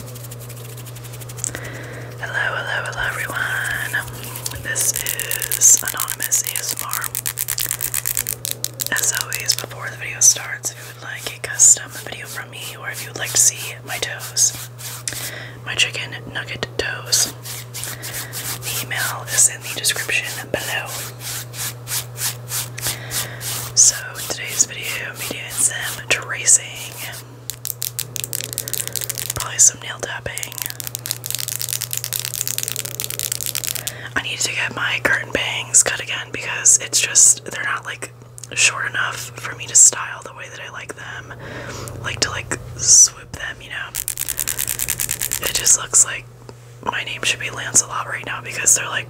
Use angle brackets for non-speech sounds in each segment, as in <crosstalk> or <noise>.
Hello, hello, hello everyone. This is Anonymous ASMR. As always, before the video starts, if you would like a custom video from me or if you would like to see my toes, my chicken nugget toes, email is in the description below. So, today's video, media and tracing. Probably some nail tapping. I need to get my curtain bangs cut again because it's just they're not like short enough for me to style the way that I like them. Like to like swoop them, you know. It just looks like my name should be Lancelot right now because they're like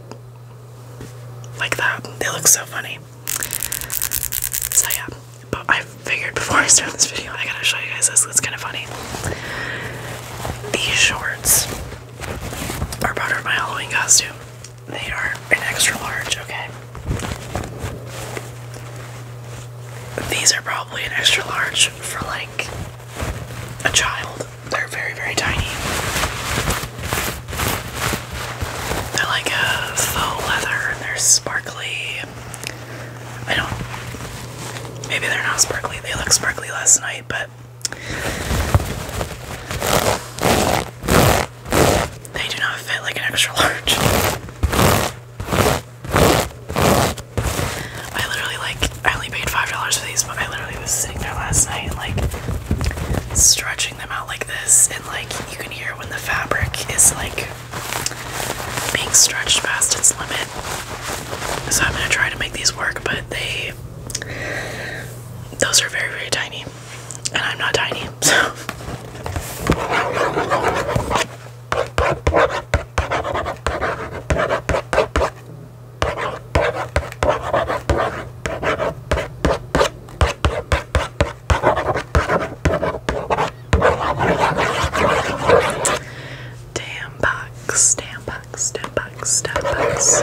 like that. They look so funny. So yeah, but I figured before I start this video, I gotta show you guys this. It's kind of funny. These shorts are part of my Halloween costume. They are an extra large, okay? These are probably an extra large for like a child. They're very, very tiny. They're like faux leather and they're sparkly. I don't. Maybe they're not sparkly. They look sparkly last night, but. They do not fit like an extra <laughs> large. I literally like I only paid five dollars for these, but I literally was sitting there last night and like stretching them out like this, and like you can hear when the fabric is like being stretched past its limit. So I'm gonna try to make these work, but they those are very very tiny, and I'm not tiny, <laughs> so. Damn box, damn box, damn box, damn box.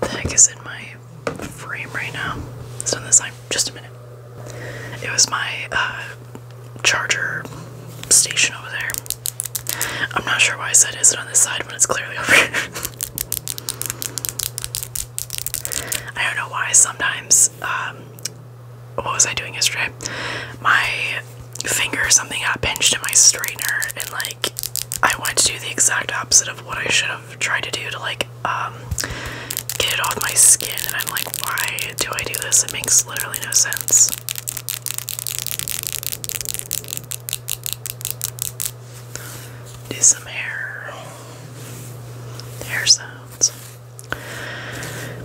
The heck is in my frame right now? It's on this time. Just a minute. It was my uh, charger station over there. I'm not sure why I said is it on this side when it's clearly over here. I don't know why sometimes, um, what was I doing yesterday? My finger or something got pinched in my straightener and like I went to do the exact opposite of what I should have tried to do to like um get it off my skin and I'm like why do I do this? It makes literally no sense do some hair hair sounds.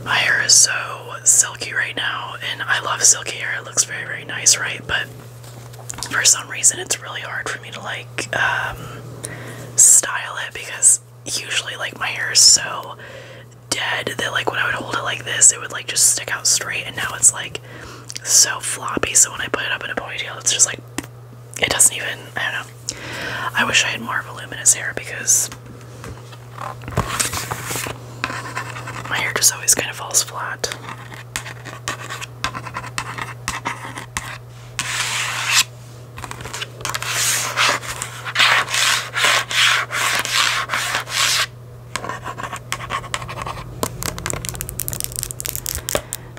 My hair is so silky right now, and I love silky hair. It looks very, very nice, right? But for some reason, it's really hard for me to like um, style it because usually, like, my hair is so dead that, like, when I would hold it like this, it would like just stick out straight, and now it's like so floppy, so when I put it up in a ponytail, it's just like it doesn't even. I don't know. I wish I had more voluminous hair because my hair just always kind of falls flat.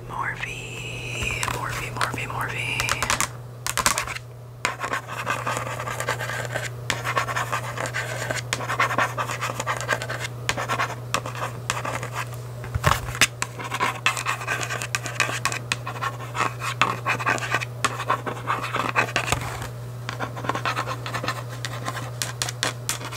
Morphe, Morphe, Morphe, Morphe.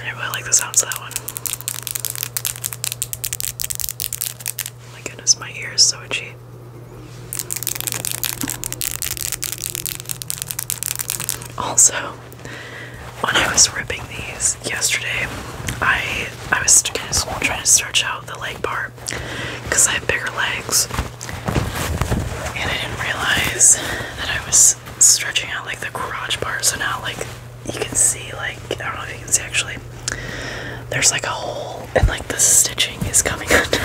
I really like the sounds of that one. Oh my goodness, my ear is so itchy. Also, when I was ripping these yesterday, I I was trying to stretch out the leg part because I have bigger legs, and I didn't realize that I was stretching out like the crotch part. So now, like, you can see, like, I don't know if you can see actually, there's like a hole, and like the stitching is coming <laughs> under.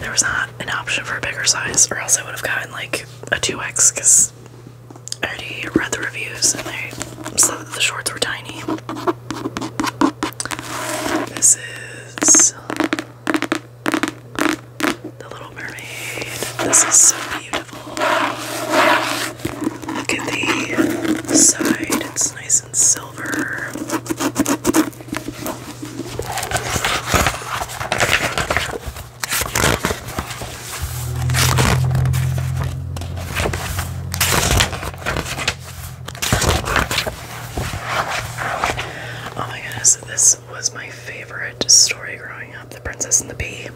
There was not an option for a bigger size, or else I would have gotten like a 2X because I already read the reviews and they said that the shorts were tiny. This is The Little Mermaid. This is so beautiful. Look at the side, it's nice and silver. Oh my goodness, this was my favorite story growing up The Princess and the Bee.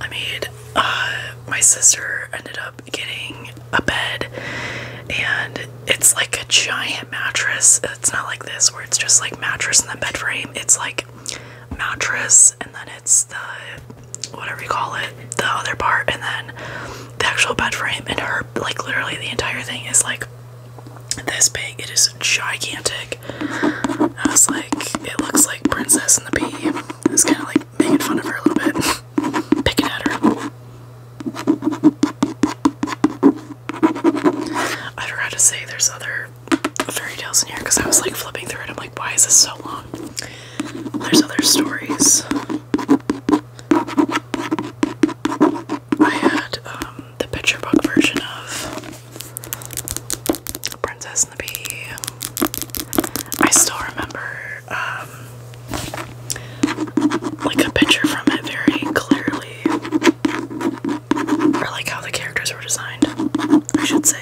I made uh, my sister ended up getting a bed, and it's like a giant mattress. It's not like this where it's just like mattress and then bed frame. It's like mattress and then it's the whatever you call it, the other part, and then the actual bed frame. And her like literally the entire thing is like this big. It is gigantic. I was like, it looks like Princess and the Bee. It's kind of like making fun of her a little bit, picking at her. I forgot to say there's other fairy tales in here because I was like flipping through it. I'm like, why is this so long? There's other stories. I had um, the picture book version of Princess I still remember um, like a picture from it very clearly, or like how the characters were designed, I should say.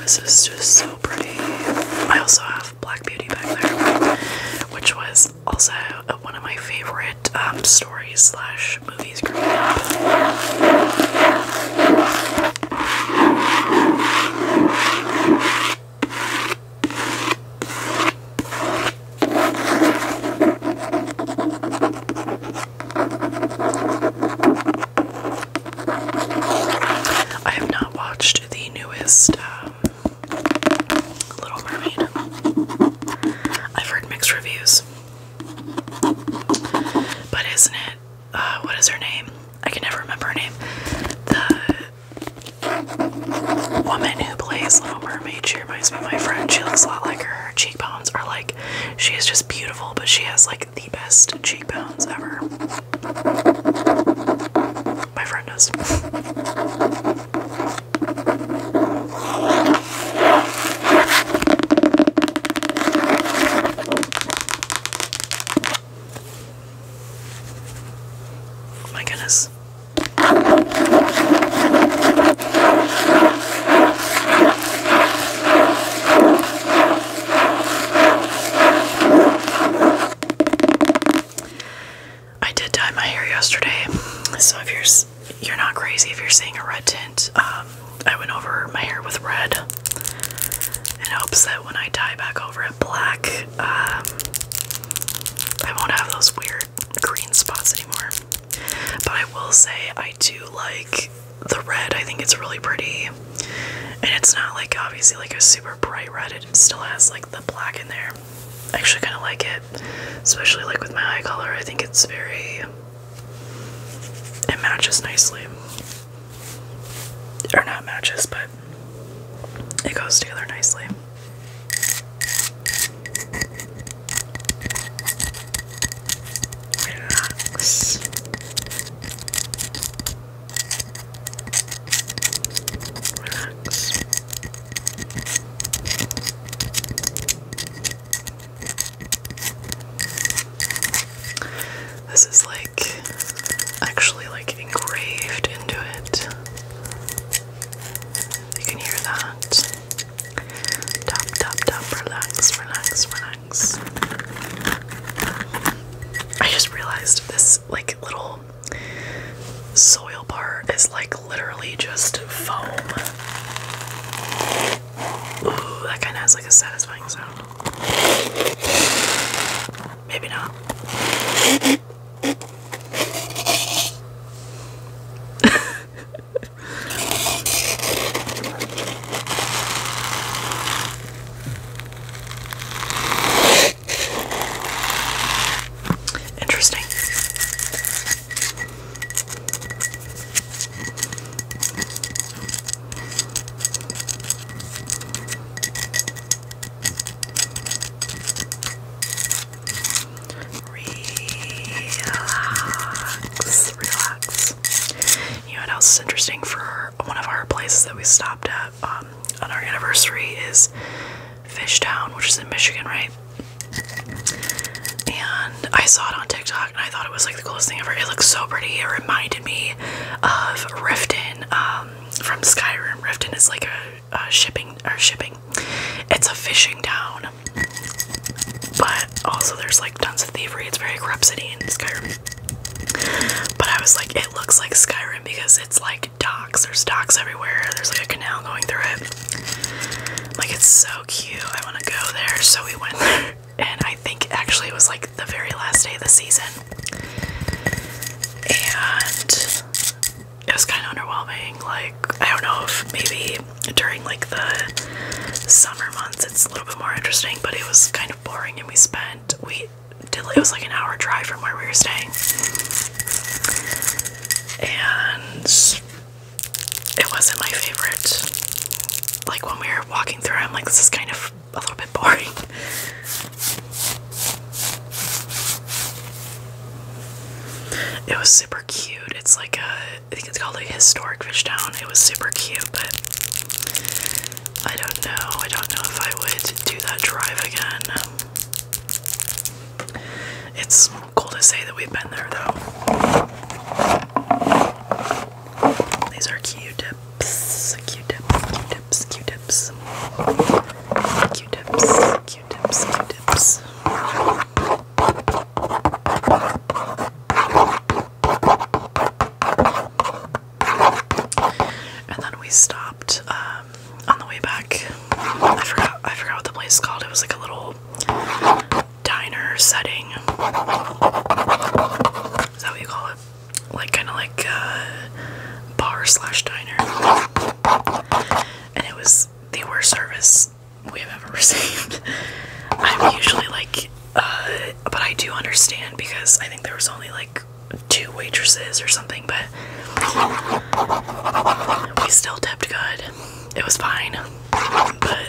This is just so I also have Black Beauty back there, which was also one of my favorite um, stories slash movies growing up. I have not watched the newest um, Little Mermaid. I've heard mixed reviews. But isn't it, uh, what is her name? I can never remember her name. The woman who plays Little Mermaid, she reminds me of my friend. She looks a lot like her. Her cheekbones are like, she is just beautiful, but she has like the best cheekbones ever. My friend does. Oh my goodness. I did dye my hair yesterday, so if you're you're not crazy if you're seeing a red tint, um, I went over my hair with red in hopes that when I dye back over it black, um, I won't have those weird green spots anymore. But I will say I do like the red. I think it's really pretty, and it's not like obviously like a super bright red. It still has like the black in there. I actually kind of like it, especially like with my eye color. I think it's very. It matches nicely. Or not matches, but it goes together nicely. Relax. Relax. This is like actually like engraved into it. You can hear that. Tap, tap, tap, relax, relax, relax. I just realized this this like little soil bar is like literally just foam. Ooh, that kind of has like a satisfying sound. Maybe not. <laughs> Interesting. Relax, relax. You know what else is interesting for one of our places that we stopped at? Um, on our anniversary is Fish Town, which is in Michigan, right? And I saw it on TikTok and I thought it was like the coolest thing ever. It looks so pretty. It reminded me of Riften um, from Skyrim. Riften is like a, shipping or shipping. It's a fishing town, but also there's like tons of thievery. It's very corrupt city in Skyrim. But I was like, it looks like Skyrim because it's like dot there's docks everywhere. There's like a canal going through it. Like it's so cute. I want to go there. So we went <laughs> and I think actually it was like the very last day of the season, and it was kind of underwhelming. Like I don't know if maybe during like the summer months it's a little bit more interesting, but it was kind of boring, and we spent we it was like an hour drive from where we were staying and it wasn't my favorite. Like when we were walking through, I'm like, this is kind of a little bit boring. It was super cute. It's like a, I think it's called a historic fish town. It was super cute, but I don't know. I don't know if I would do that drive again. It's cool to say that we've been there though. These are Q-tips, Q-tips, Q-tips, Q-tips, Q-tips, Q-tips, Q-tips. And then we stopped uh, um, on the way back. I forgot. I forgot what the place is called. It was like a little diner setting. Is that what you call it? Like kind of like uh, bar slash diner. And it was the worst service we have ever <laughs> received. I'm usually like, uh, but I do understand because I think there was only like two waitresses or something. But we still tipped good. It was fine. But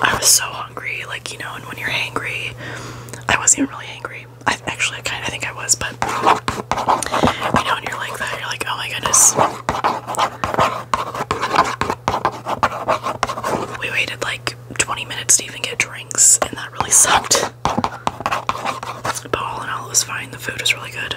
I was so hungry, like you know, and when you're hangry, I wasn't really hangry. I actually kinda think I was, but you know, when you're like that, you're like, oh my goodness. We waited like 20 minutes to even get drinks, and that really sucked. But all in all, it was fine. The food was really good.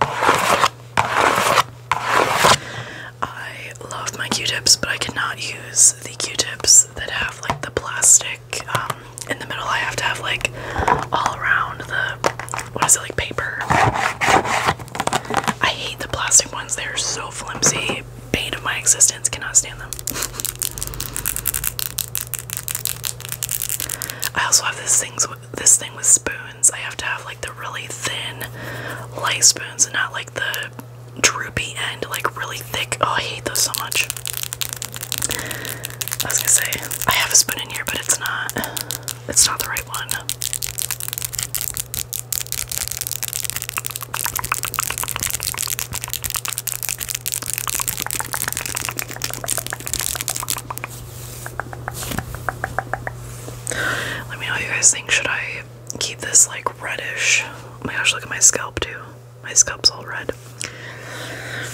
I love my Q-tips, but I cannot use the Q-tips that have like the plastic um, in the middle. I have to have like all around the what is it like paper. I hate the plastic ones. They're so flimsy. Bane of my existence. Cannot stand them. <laughs> I also have these things this thing with spoons. I have to have like the really thin light spoons and not like the droopy end, like really thick. Oh, I hate those so much. I was gonna say, I have a spoon in here, but it's not, it's not the right one. Let me know you guys think. Should I keep this like reddish? Oh my gosh, look at my scalp too. My scalp's all red.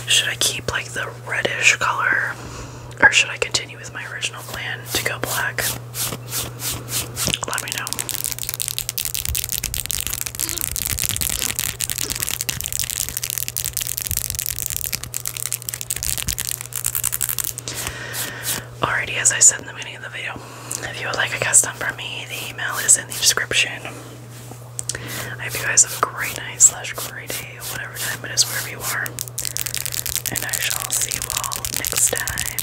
Should I keep like the reddish color? Or should I continue with my original plan to go black? Let me know. Alrighty, as I said in the beginning of the video, if you would like a custom from me, the email is in the description. I hope you guys have a great night slash great day, whatever time it is, wherever you are. And I shall see you all next time.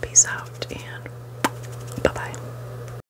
Peace out and bye bye.